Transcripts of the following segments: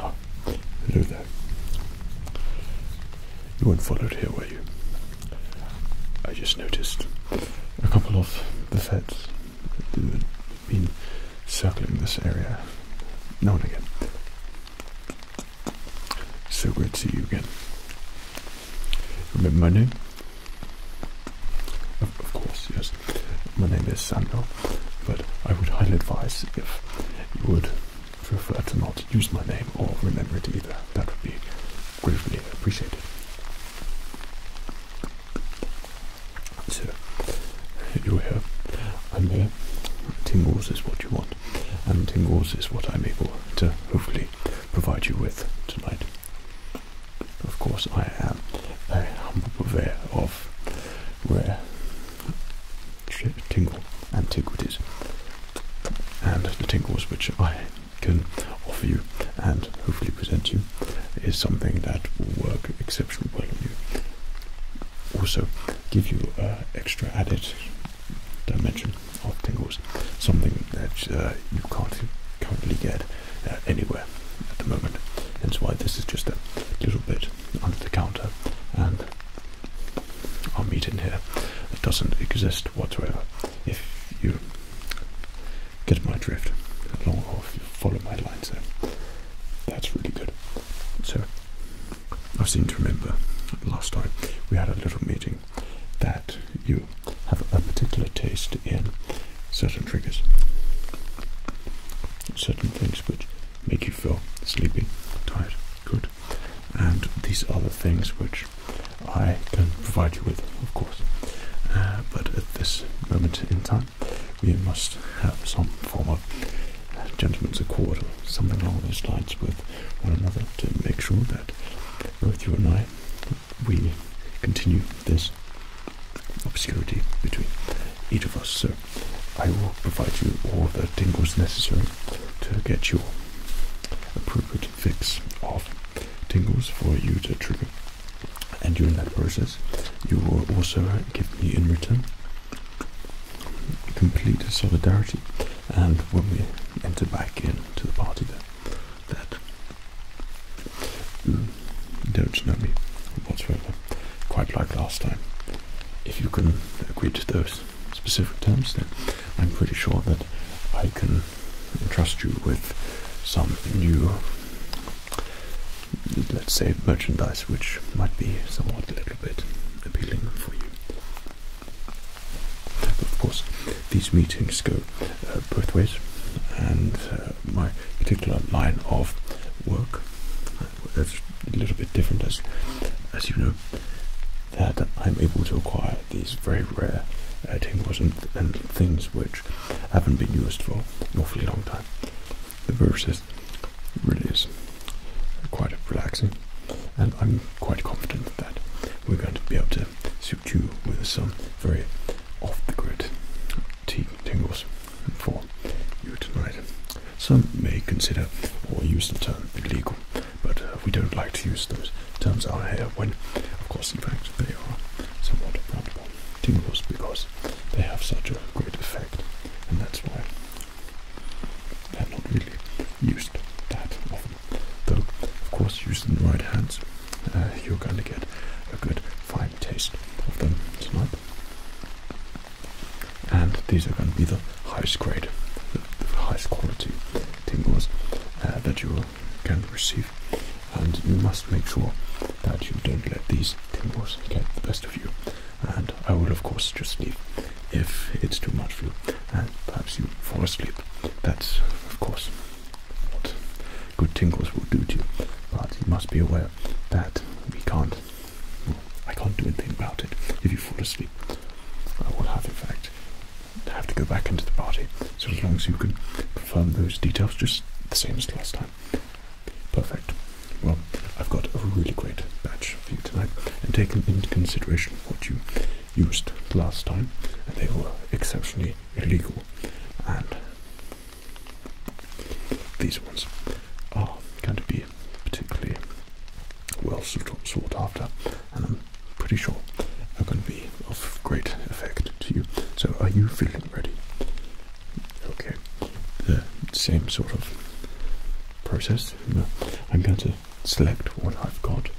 Oh, hello there. You weren't followed here, were you? I just noticed a couple of the feds who had been circling this area No and again. So great to see you again. Remember my name? Of, course, yes. My name is Samuel, but I would highly advise if you would prefer to not use my name or remember it either, that would be greatly appreciated. So, you're here, I'm here, tingles is what you want, and tingles is what I'm able to hopefully provide you with tonight. Of course, I am a humble purveyor of where tingles antiquities and the tingles which I can offer you and hopefully present you is something that will work exceptionally well on you. Also give you uh, extra added dimension of tingles, something that uh, you can't currently get uh, anywhere at the moment. Hence why this is just a little bit under the counter and our meeting here that doesn't exist whatsoever. If you get my drift along or you follow my lines. so that's really good. So I seem to remember last time we had a little meeting that you have a particular taste in certain triggers, certain things which make you feel sleepy, tired, good and these other things which I can provide you with, of course. Uh, but at this moment in time, we must have some form of gentleman's accord or something along those lines with one another to make sure that both you and I, we continue this obscurity between each of us. So I will provide you all the things necessary to get your appropriate fix of tingles for you to trigger. And during that process, you will also give me in return complete solidarity. And when we enter back into the party, that, don't know me whatsoever, quite like last time. If you can agree to those specific terms, then I'm pretty sure that I can trust you with some new, let's say, merchandise which might be somewhat a little bit appealing for you. Of course, these meetings go uh, both ways, and uh, my particular line of work that's a little bit different, as as you know, that I'm able to acquire these very rare uh, and, things which haven't been used for an awfully long time. The versus really is quite relaxing, and I'm quite confident that we're going to be able to suit you with some very off the grid tea tingles for you tonight. Some may consider or use the term illegal, but uh, we don't like to use those terms out here when, of course, in fact, they are somewhat random tingles because they have such a great effect, and that's why they're not really used that often. Though, of course, using the right hands, uh, you're going to get a good fine taste of them tonight. And these are going to be the highest grade, the, highest quality tingles uh, that you will can receive. And you must make sure that you don't let these tingles get the best of you. And I will, of course, just leave if it's too much for you and perhaps you fall asleep. That's, of course, what good tingles will do to you. But you must be aware that we can't, I can't do anything about it if you fall asleep. I will have, in fact, have to go back into the party. So as long as you can confirm those details, just the same as last time. Perfect. Well, I've got a really great batch for you tonight, and taking into consideration what you used last time, and they were exceptionally illegal. And these ones are going to be particularly well sought after and I'm pretty sure are going to be of great effect to you. So, are you feeling ready? Okay, the same sort of process. I'm going to select what I've got,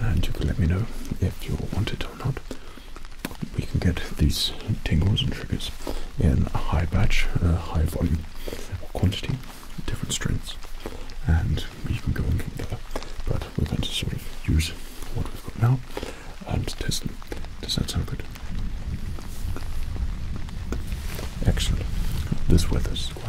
and you can let me know if you want it or not. We can get these tingles and triggers in a high batch, high volume, quantity, different strengths, and we can go on from there. But we're going to sort of use what we've got now and test them. Does that sound good? Actually, This weather is quite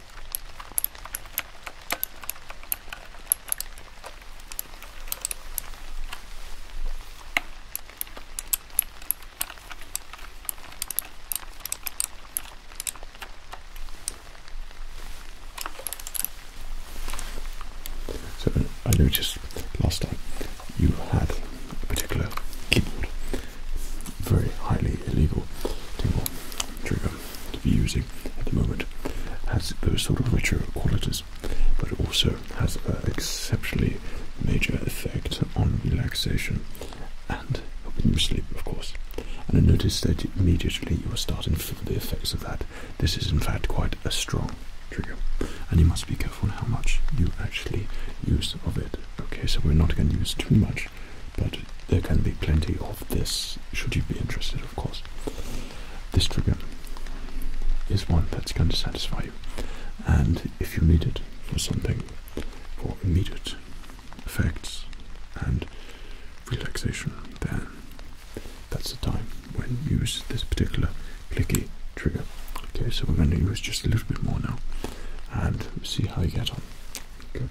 So I noticed last time you had a particular keyboard, very highly illegal trigger to be using at the moment has those sort of richer qualities, but it also has an exceptionally major effect on relaxation and helping you sleep, of course. And I noticed that immediately you are starting to feel the effects of that. This is, in fact, quite a strong trigger, and you must be careful how much you actually use of it. Okay, so we're not going to use too much but there can be plenty of this, should you be interested, of course. This trigger is one that's going to satisfy you, and if you need it for something, for immediate effects and relaxation, then that's the time when you use this particular clicky trigger. Okay, so we're going to use just a little bit more now and see how you get on. Good.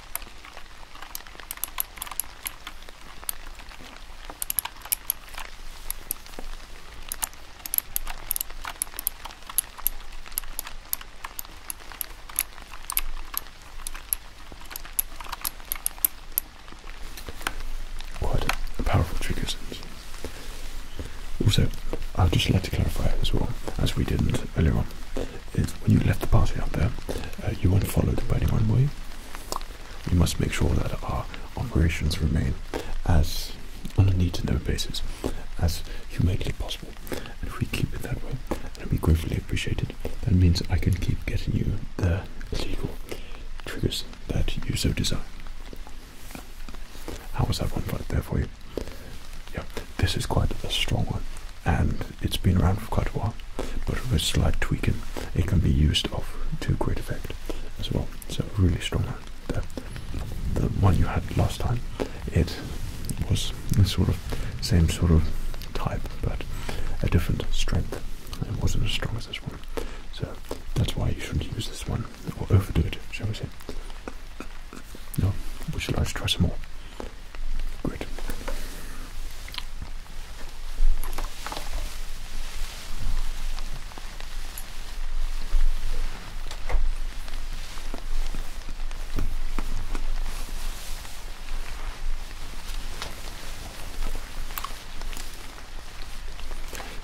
Quite powerful trigger Also, I'd just like to clarify as well, as we didn't earlier on, is when you left the party out there, uh, you weren't followed by anyone, were We must make sure that our operations remain as on a need to know basis as humanly possible. And if we keep it that way, it'll be gratefully appreciated. That means I can keep getting you the legal triggers that you so desire. How was that one right there for you? Yeah, this is quite a strong one and it's been around for quite a while but with a slight tweaking it can be used off to great effect as well so really strong the one you had last time it was the sort of same sort of type but a different strength it wasn't as strong as this one so that's why you shouldn't use this one or overdo it shall we say no we should like to try some more Good.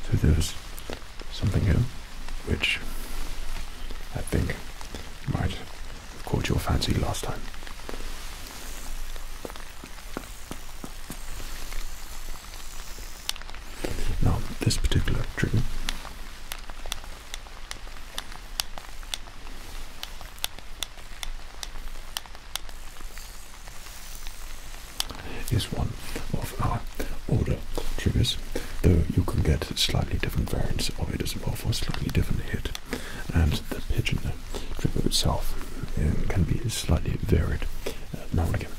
So there's something here which I think might caught your fancy last time. Now, this particular trigger is one of our order triggers, though you can get slightly different variants of it as well for slightly different hit and the pigeon dribble itself um, can be slightly varied uh, now and again,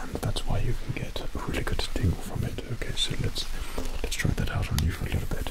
and that's why you can get a really good tingle from it. Okay, so let's let's try that out on you for a little bit.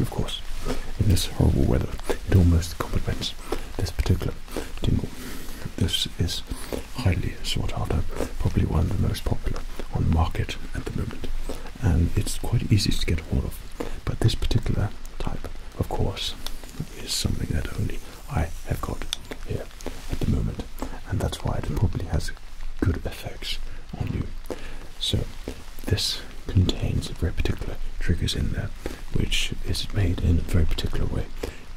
of course, in this horrible weather, it almost complements this particular tingle. This is highly sought after, probably one of the most popular on the market at the moment, and it's quite easy to get hold of. But this particular type, of course, is something that only I have got here at the moment, and that's why it probably has good effects on you. So, this contains very particular triggers in there, which is made in a very particular way,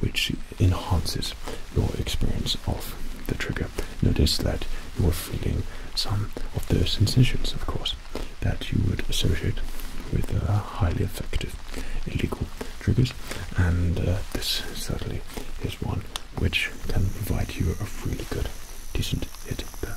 which enhances your experience of the trigger. Notice that you are feeling some of the sensations, of course, that you would associate with uh, highly effective illegal triggers, and uh, this certainly one which can provide you a really good, decent hit there.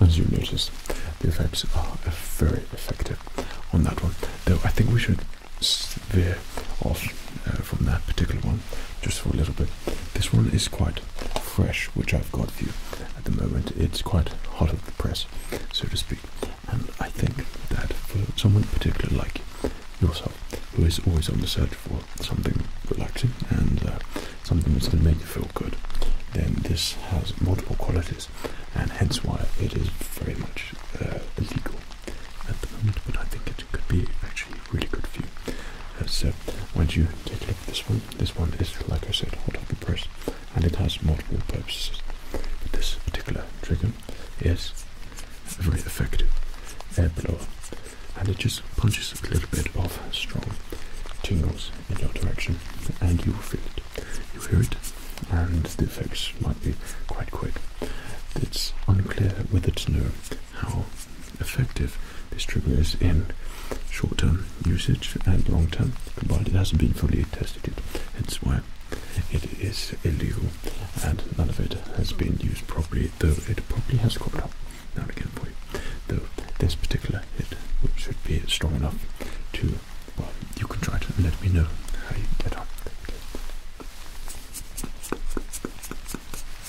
as you notice, the effects are very effective on that one. Though I think we should veer off uh, from that particular one just for a little bit. This one is quite fresh, which I've got for you at the moment. It's quite hot off the press, so to speak. And I think that for someone particular like yourself, who is always on the search for something relaxing and uh, something that's going to make you feel good, then this has multiple qualities, and hence why it is very much uh, illegal at the moment. But I think it could be actually really good for you so once you take a look at this one, this one is, like I said, hot up and press, and it has multiple purposes. this particular trigger is very effective air uh, blower, uh, and it just punches a little bit of strong tingles in your direction, and you feel it. You hear it, and the effects might be quite quick. It's unclear with it's nerve how effective this trigger is in short-term usage and long-term combined. It hasn't been fully tested yet, hence why it is illegal and none of it has been used properly, though it probably has cropped up now and again for you. Though this particular hit should be strong enough to, well, you can try it let me know how you get on.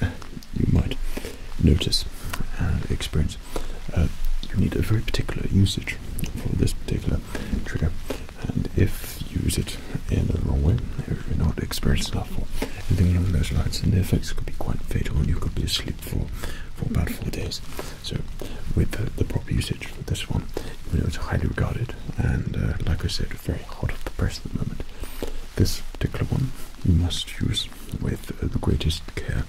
you might notice and uh, experience uh, you need a very particular usage for this particular trigger and if you use it in the wrong way if you're not experienced enough for, anything along those lines then the effects could be quite fatal and you could be asleep for for about four days so with the, proper usage for this one you know it's highly regarded and uh, like i said very hot of the press at the moment. This particular one you must use with uh, the greatest care,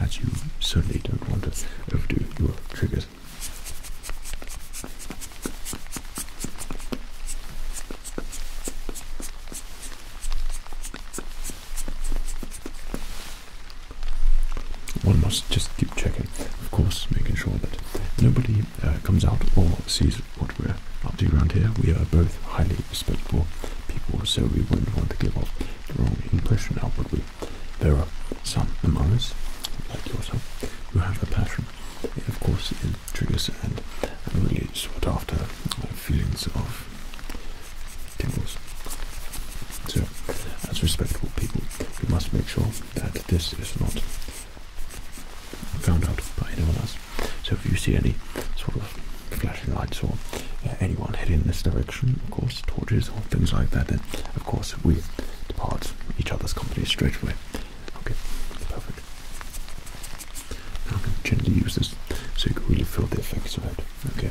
as you certainly don't want to overdo your triggers. One must just keep checking, of course, making sure that nobody uh, comes out or sees what we're up to around here. We are both highly respectable people, so we wouldn't want to give off the wrong impression would we? There are some among us, like yourself, who have a passion. It, of course, it triggers and, really sought after uh, feelings of tingles. So, as respectable people, we must make sure that this is not found out by anyone else. So if you see any sort of flashing lights or uh, anyone heading in this direction, of course, torches or things like that, then of course we depart each other's company straight away. Okay, perfect. Now I can gently use this so you can really feel the effects of it. Okay.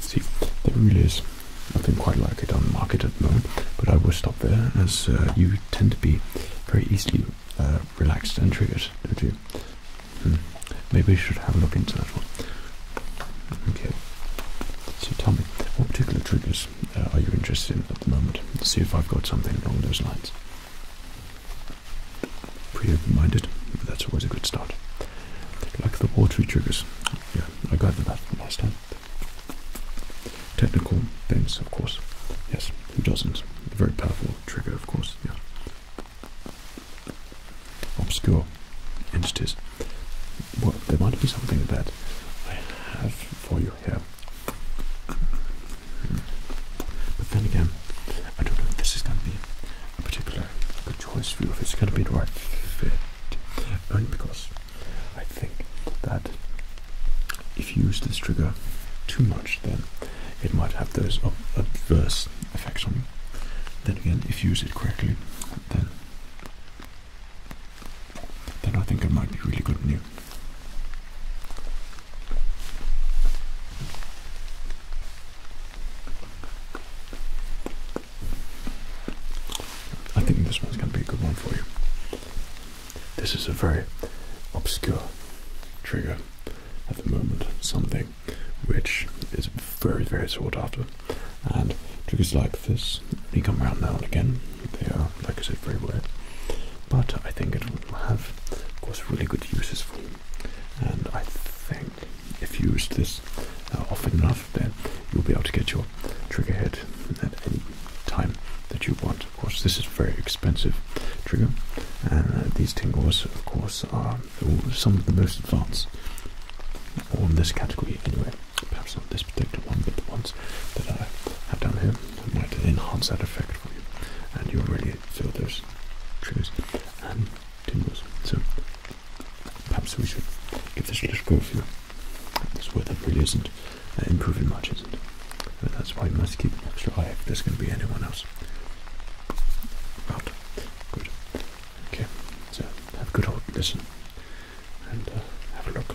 See, there really is nothing quite like it on the market at the moment, but I will stop there as uh, you tend to be very easily uh, relaxed and triggered, don't you? Hmm. Maybe we should have a look into that one. Okay, so tell me, what particular triggers uh, are you interested in at the moment? see if I've got something along those lines. Pretty open minded, but that's always a good start. Like the watery triggers, yeah, I got that from last time. Technical things, of course. Yes, who doesn't? very powerful trigger, of course. Yeah. Obscure entities. Well, there might be something that I have for you here. But then again, I don't know if this is going to be a particular good choice view if it's going to be the right fit. Only because I think that if you use this trigger too much, then it might have those adverse effects on you. Then again, if you use it correctly, then then I think it might be really good on you. I think this one's going to be a good one for you. This is a very obscure trigger at the moment, something which is very, very sought after. And triggers like this only come around now and again. They are, like I said, very rare. But I think it will have, of course, really good uses for you. And I think if you use this uh, often enough, then you'll be able to get your trigger head at any time that you want. Of course, this is a very expensive trigger, and uh, these tingles, of course, are some of the most advanced on this category anyway. Perhaps not this particular one, but the ones that I have down here might enhance that effect for you, and you'll really feel those triggers and tingles. So Perhaps we should give this a little go through. This weather really isn't uh, improving much, isn't it? And that's why we must keep an extra eye if there's going to be anyone else out. Good. Okay, so have a good old listen and uh, have a look.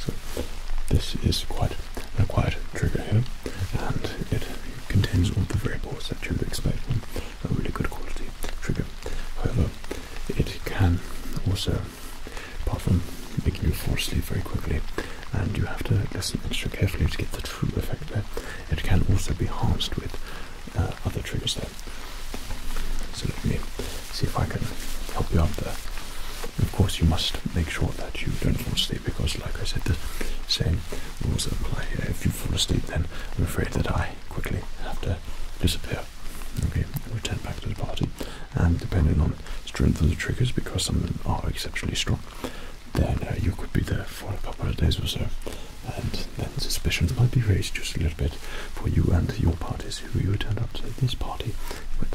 So this is quite a quiet trigger here, and it contains all the variables that you would expect from a really good quality trigger. However, it can also, apart from making you fall asleep very quickly, and you have to listen extra carefully to get the true effect there, it can also be harmed with uh, other triggers there. So let me see if I can help you out there. Of course, you must make sure that you don't fall asleep because, like I said, the same rules apply If you fall asleep, then I'm afraid that I quickly have to disappear. Okay, return back to the party, and depending on strength of the triggers, because some are exceptionally strong, then uh, you could be there for a couple of days or so and then suspicions might be raised just a little bit for you and your parties who you turned up to this party with.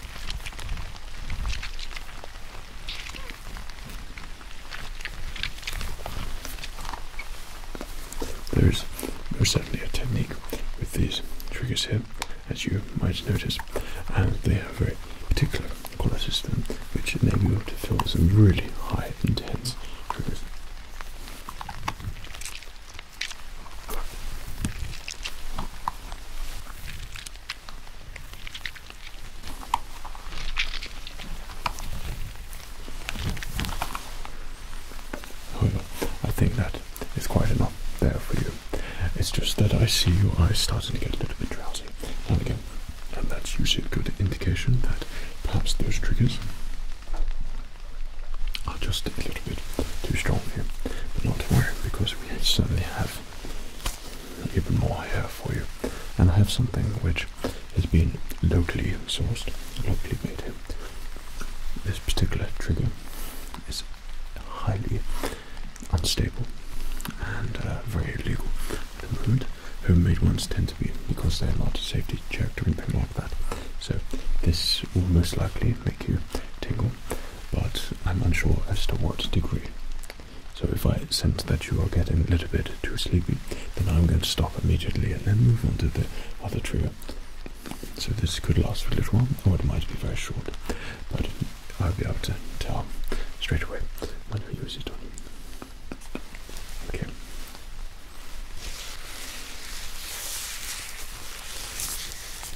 There's certainly a technique with these triggers here, as you might notice, and they have very particular color system which enable you to fill some really high intense triggers. I think that is quite enough there for you. It's just that I see you eyes starting to get a little bit drowsy and again, and that's usually a good indication that perhaps those triggers are just a little bit too strong here. But not to worry, because we certainly have even more here for you. And I have something which has been locally sourced, locally made This particular trigger is highly unstable and uh, very illegal Homemade ones tend to be because they're not safety checked or anything like that. So this will most likely make you tingle but I'm unsure as to what degree. So if I sense that you are getting a little bit too sleepy, then I'm going to stop immediately and then move on to the other trio. So this could last for a little while, or it might be very short, but I'll be able to tell straight away when I use it on you. Okay.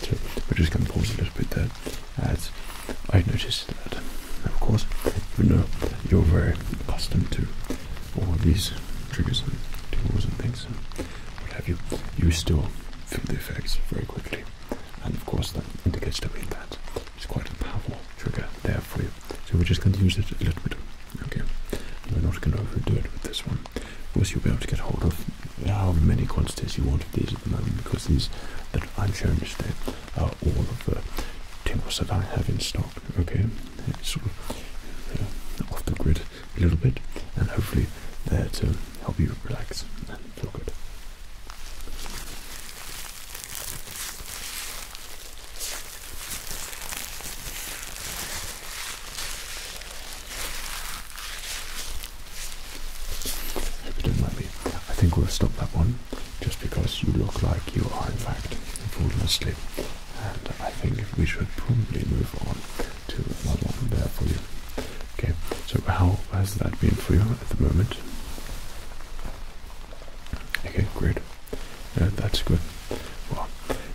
So we're just going to pause a little bit there, as I noticed that, of course, you know you're very accustomed to all these triggers and tools and things and what have you. You still feel the effects very quickly, and of course that indicates to me that it's quite a powerful trigger there for you. So we're just going to use it a little bit. Okay, we're not going to overdo it with this one. Of course, you'll be able to get hold of how many quantities you want of these at the moment because these that I'm showing you today are all of the timbers that I have in stock. Okay, it's sort of uh, off the grid a little bit, and hopefully there to uh, help you relax and feel good. Hope you don't mind me. I think we'll stop that one just because you look like you are in fact falling asleep. And I think we should probably move on to another one there for you. Okay, so how has that been for you at the moment? Okay, great. Uh, that's good. Well,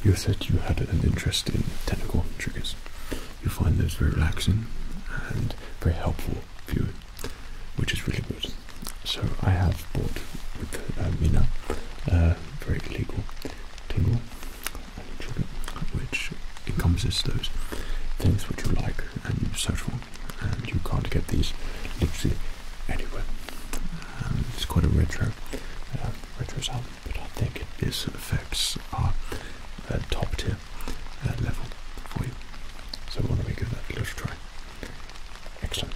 you said you had an interest in technical triggers. You find those very relaxing and very helpful for which is really good. So I have bought with uh, Mina uh, a very legal tingle trigger, which encompasses those things which you like and you search for and you can't get these literally anywhere. And um, it's quite a retro, uh, retro sound, but I think it effects are uh, top tier uh, level for you. So why don't we give that a little try? Excellent.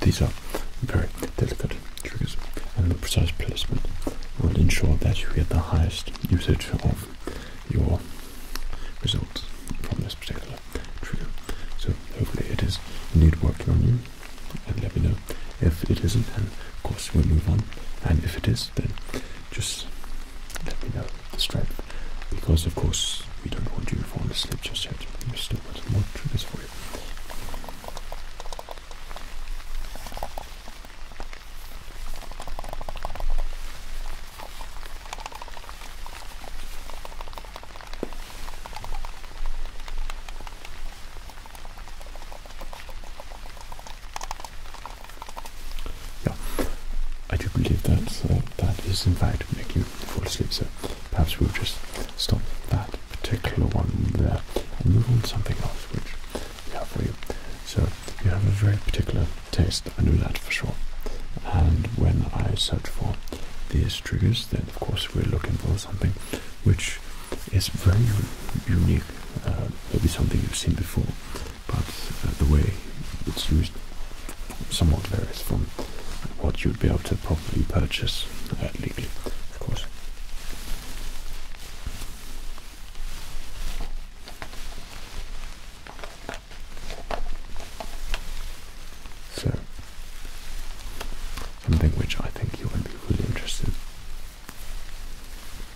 These are very delicate triggers, and precise placement will ensure that you get the highest usage of your results from this particular trigger. So hopefully it is indeed working on you, and let me know if it isn't, and of course we'll move on, and if it is, then just let me know the strength. Because of course we don't want you to fall asleep just yet. We've still got more triggers for you. Yeah, I do believe that uh, that is in fact making you fall asleep. So perhaps we'll just stop that particular one there and move on to something else which we have for you. So you have a very particular taste. I know that for sure. And when I search for these triggers, then of course we're looking for something which is very unique. Uh, maybe something you've seen before, but uh, the way it's used somewhat varies from what you'd be able to properly purchase uh, legally, of course. So, something which I think you would be really interested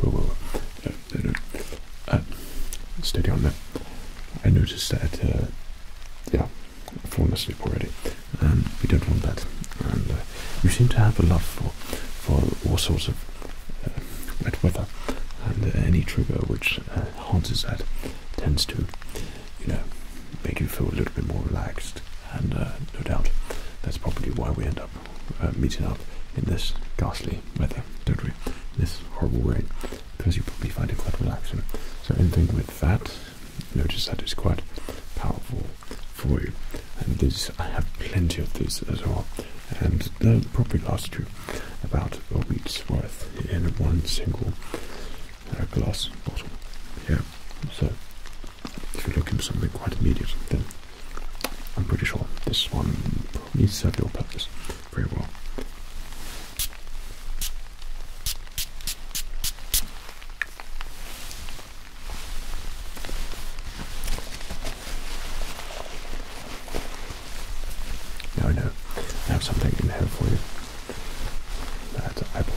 But well, uh, steady on that. I noticed that, uh, yeah, I've fallen asleep already. we um, don't want that. Uh, you seem to have a love for, for all sorts of wet weather, and any trigger which enhances that tends to, you know, make you feel a little bit more relaxed. And no doubt, that's probably why we end up meeting up in this ghastly weather, don't we? This horrible rain because you will probably find it quite relaxing. So anything with that, notice that is quite powerful for you. And these, I have plenty of these as well, and they'll probably last you about a week's worth in one single uh, glass bottle. Yeah. So if you're looking for something quite immediate, then I'm pretty sure this one probably served your purpose very well. I know I have something in here for you. That's eyeball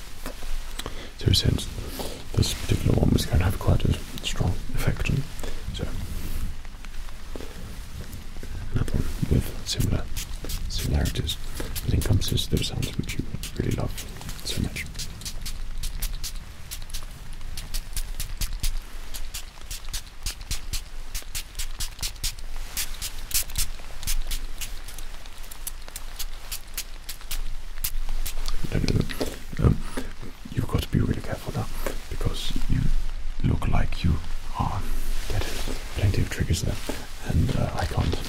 So since this particular one was going to have quite a strong effect, so another with similar similarities that to those sounds which you really love so much. Um, you've got to be really careful now because you look like you are getting plenty of triggers there, and uh, I can't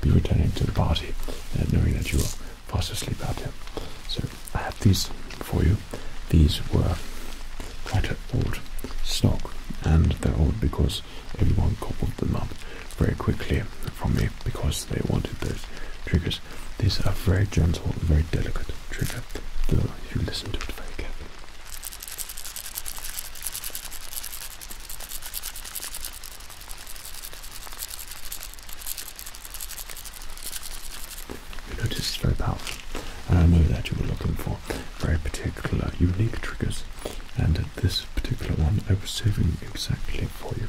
be returning to the party uh, knowing that you are fast asleep out here. So I have these for you. These were quite old stock, and they're old because everyone cobbled them up very quickly from me because they wanted those triggers. These are very gentle, very delicate triggers. though if you listen to it very carefully. You notice it's very powerful, and I know that you were looking for very particular, unique triggers, and this particular one I was saving exactly for you.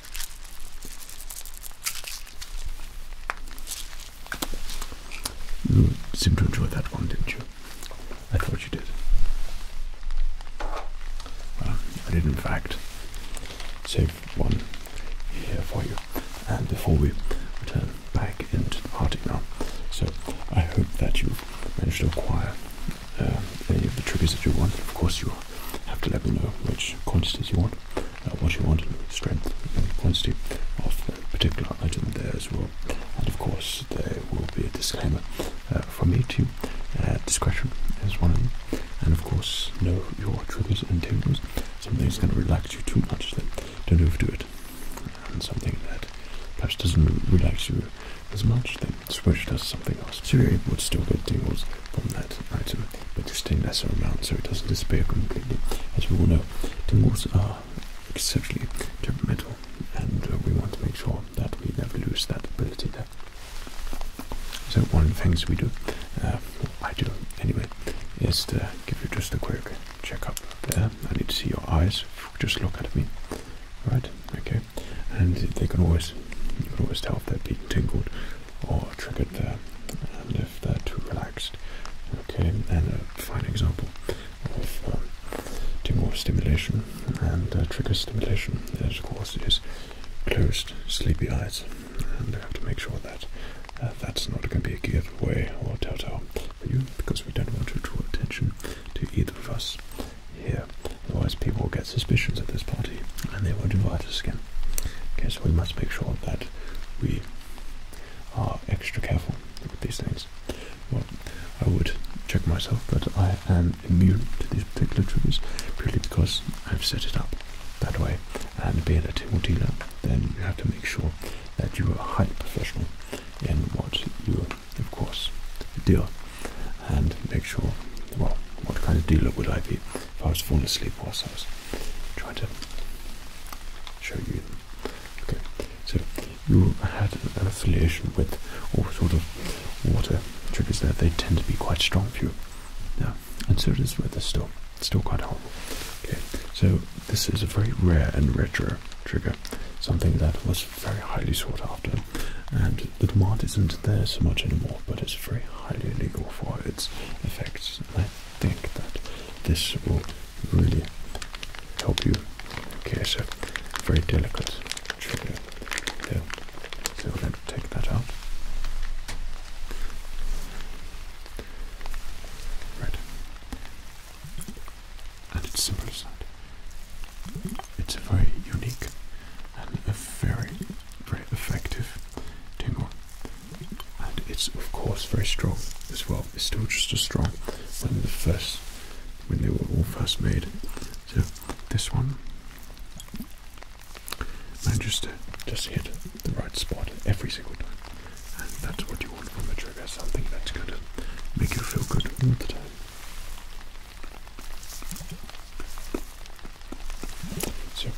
You seemed to enjoy that one, didn't you? I thought you did. Well, I did in fact save one here for you. And before we return back into the party now, so I hope that you've managed to acquire uh, any of the triggers that you want. Of course, you have to let me know which quantities you want. Uh, what you want, in strength and quantity of the particular item there as well. And of course, there will be a disclaimer uh, from me to uh, discretion is one of them. And of course, know your triggers and tingles. Something's going to relax you too much, then don't overdo it. And something that perhaps doesn't relax you as much, then switch to something else. So you would still get tingles from that item, but just a lesser amount so it doesn't disappear completely. As you all know, tingles are exceptionally temperamental, and uh, we want to make sure that we never lose that ability there. So one of the things we do, uh, I do anyway, is to give you just a quick checkup there. I need to see your eyes. Just look at me. All right? Okay. And they can always, you can always tell if they're being tingled or triggered there if they're too relaxed. Okay, and a fine example of um, timor stimulation and uh, trigger stimulation is, of course, is closed sleepy eyes, and we have to make sure that uh, that's not going to be a giveaway or telltale for you, because we don't want to draw attention to either of us here. Otherwise, people will get suspicions at this party, and they won't invite us again. Okay, so we must make sure that we are extra careful with these things. Well, I would check myself, but I am immune to these particular triggers purely because I've set it up that way. And being a tingle dealer, then you have to make sure that you are a high professional in what you, of course, deal, and make sure, well, what kind of dealer would I be I was falling asleep whilst I was trying to show you Okay, so you had an affiliation with all sort of water triggers there. They tend to be quite strong for you. Yeah, and so it is with this still. It's still quite horrible. Okay, so this is a very rare and retro trigger, something that was very highly sought after, and the demand isn't there so much anymore, but it's very highly illegal for its effects think that this will really help you. Okay, so very delicate trigger there. So we're going to take that out. Right. And it's simple as that. It's a very unique and a very, very effective tingle and it's of course very strong as well. It's still just as strong when they were all first made. So this one manages just hit the right spot every single time. And that's what you want from a trigger, something that's gonna make you feel good all the time. So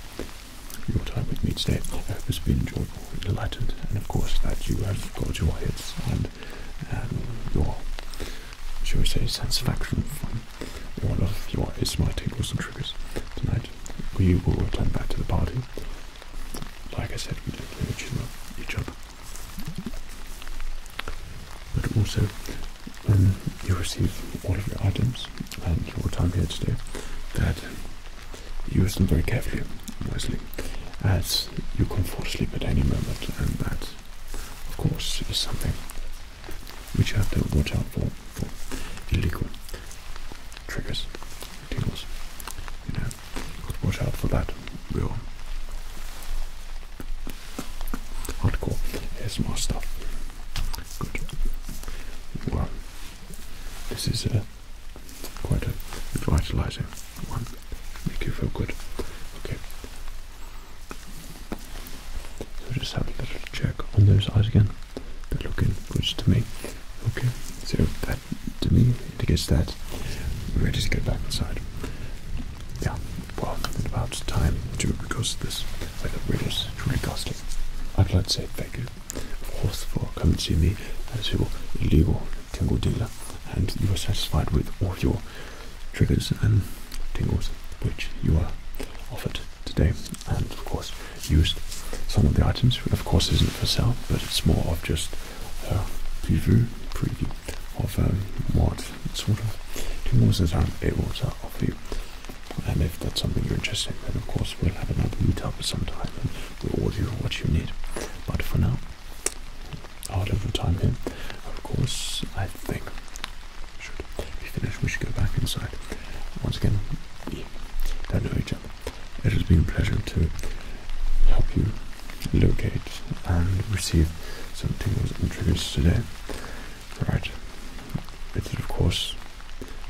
your time with me today. I hope has been enjoyable and enlightened, and of course that you have got your hits and um, your, shall we say, satisfaction from all of your ASMR tingles and triggers tonight. We will return back to the party. Like I said, we don't know each other. But also, when um, you receive all of your items and your time here today that you use them very carefully wisely as you can fall asleep at any moment and that of course is something which you have to watch out for for illegal triggers tingles you know watch out for that real hardcore ASMR stuff good well this is a Quite a revitalizing one. Make you feel good. Okay. So just have a little check on those eyes again. They're looking good to me. Okay. So that to me indicates that we're ready to get back inside. Yeah. Well, it's about time too because this weather really is truly costly. I'd like to say thank you of course, for coming to me as your legal tingle dealer and you are satisfied with all your triggers and tingles which you are offered today and of course used some of the items of course isn't for sale but it's more of just a preview, preview of um, what sort of tingles that I'm able to offer and if that's something you're interested in then of course we'll have another meet up sometime will order you what you need. But for now, out of the time here. Of course, I think we should be finished. We should go back inside. Once again, we don't know each other. It has been a pleasure to help you locate and receive something tingles and triggers today. Right. It is of course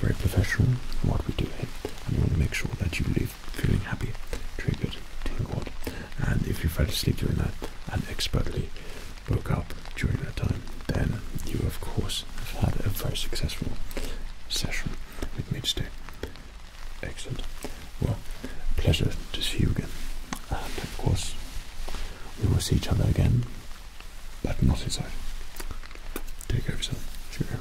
very professional what we do here, and you want to make sure that you leave feeling happy, triggered, tingled, and if you fell asleep during that and expertly woke up during that time, then you of course have had a very successful session with me today. Excellent. Well, pleasure to see you again, and of course we will see each other again, but not inside. Take care of yourself. Cheerio.